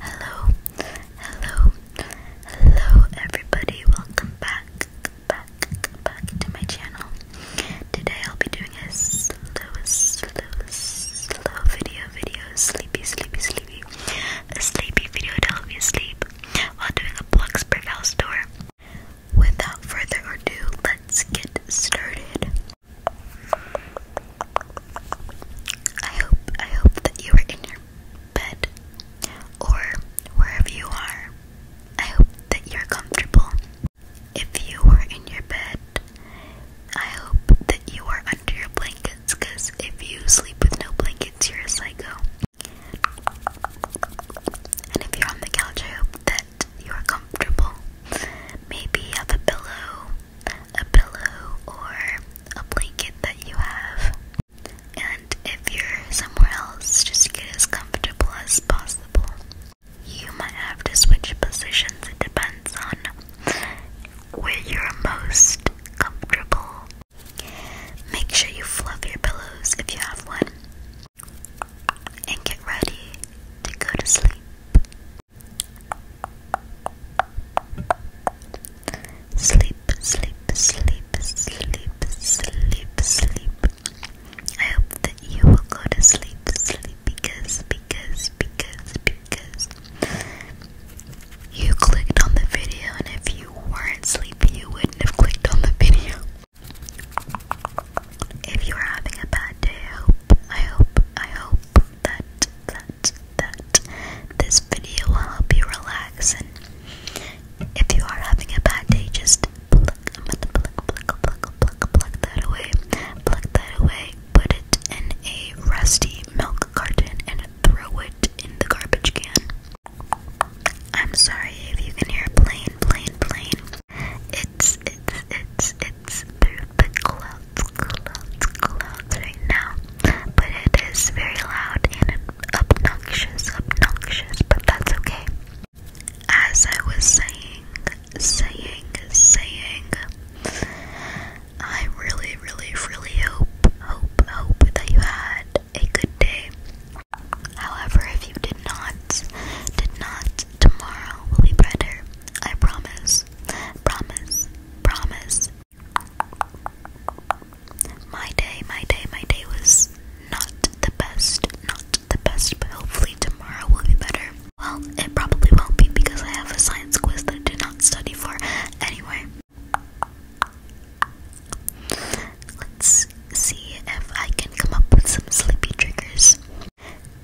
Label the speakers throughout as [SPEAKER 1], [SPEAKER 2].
[SPEAKER 1] Hello, hello, hello, everybody. Welcome back, back, back to my channel. Today I'll be doing a slow, slow, slow video, video, sleepy, sleepy, sleepy, a sleepy video to help you sleep while doing a Bloxburg house tour. Without further ado, let's get started. I hope I hope that you are in your bed or wherever you are. I hope that you're comfortable. If you are in your bed, I hope that you are under your blankets because if you sleep with no blankets, you're a psycho. And if you're on the couch, I hope that you are comfortable. Maybe have a pillow a pillow or a blanket that you have. And if you're somewhere else, just get as comfortable as possible. You might have to switch positions, it depends on where you're most comfortable. Make sure you fluff your pillows if you have one and get ready to go to sleep. Sleep, sleep, sleep, sleep, sleep, sleep. I hope that you will go to sleep, sleep, because, because, because, because you clicked on the video, and if you weren't sleepy, you wouldn't have clicked on the video. If you are having a bad day, I hope, I hope, I hope that, that, that this video will help you relax. And if you are having a bad day, just pluck, I'm gonna pluck, pluck, pluck, pluck, pluck that away, pluck that away, put it in a rusty milk carton, and throw it in the garbage can. I'm sorry if you can hear plane, plane, plane. It's, it's, it's, it's through the clouds, clouds, clouds right now. But it is very loud and obnoxious, obnoxious, but that's okay. As I was saying, saying, saying, I really, really, really hope, hope, hope that you had a good day. However, if you did not, did not, tomorrow will be better. I promise, promise, promise. My day, my day, my day was not the best, not the best, but hopefully tomorrow will be better. Well, it probably won't be because I have a science quiz that I did not study for. Anyway, Let's see if I can come up with some sleepy triggers.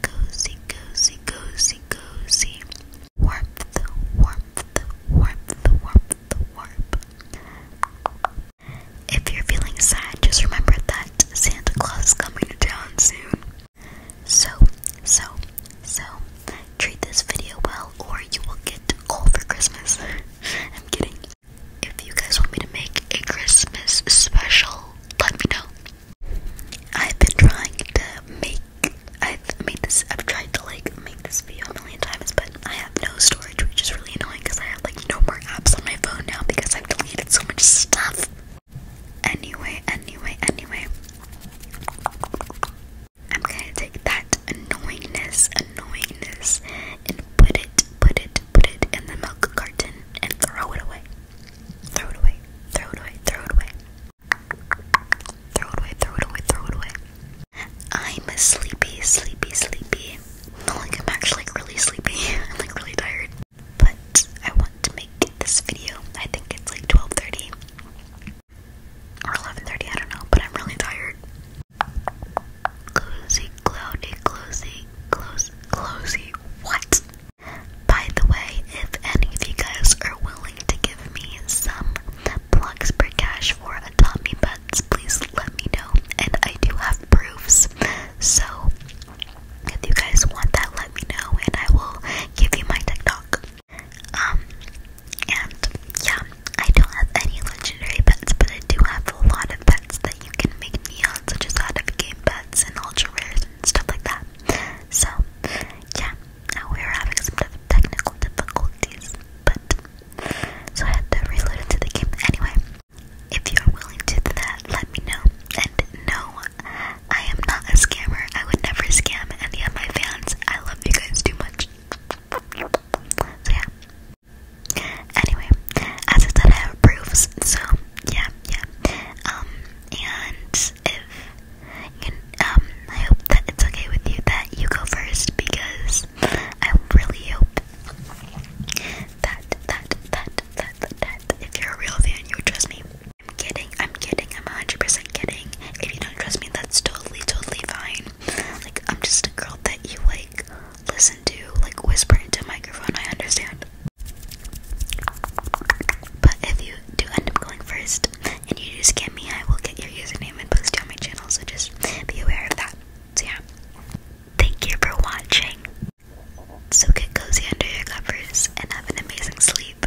[SPEAKER 1] Cozy, cozy, cozy, cozy. Warmth, warmth, warmth, warmth, warmth. If you're feeling sad, just remember that Santa Claus is coming to town soon. So, so, so, treat this video well, or you will get cold for Christmas. I'm kidding. If you guys want me to make a Christmas special, let me know. I've been trying to make I've made this I've tried to like make this video a million times, but I have no storage, which is really annoying because I have like no more apps on my phone now because I've deleted so much stuff. Anyway, anyway, anyway. I'm gonna take that annoyingness, annoyingness, and put it, put it, put it in the milk carton and throw it away. Throw it away, throw it away, throw it away. Throw it away, throw it away, throw it away. I'm sleepy, sleepy, sleepy. Not like I'm actually like really sleepy. I'm like really tired. But I want to make this video. I think it's like 12:30 or 11:30. I don't know. But I'm really tired. Closey, cloudy, closey, close, closey. What? By the way, if any of you guys are willing to give me some plugs per cash for a Butts, please let me know. And I do have proofs. So if you guys want that, let me know and I will give you my TikTok. Um, and yeah, I don't have any legendary pets, but I do have a lot of pets that you can make me such as out of game pets and ultra rares and stuff like that. So, yeah, now we're having some technical difficulties, but so I had to reload into the game anyway. If you are willing to do that, let me know. And no, I am not a scammer. I would never scam any of my fans. I love you guys too much. So yeah. Anyway, as I said, I have So yeah, yeah. Um, and if um, I hope that it's okay with you that you go first because I really hope that that that that that, if you're a real fan, you trust me. I'm kidding, I'm kidding, I'm 100% kidding. If you don't trust me, that's totally, totally fine. Like, I'm just a girl that you, like, listen to, like, whisper into a microphone, I understand. But if you do end up going first, and you just me, I will get your username and post it on my channel, so just be aware of that. So yeah, thank you for watching. So get cozy under your covers and have an amazing sleep.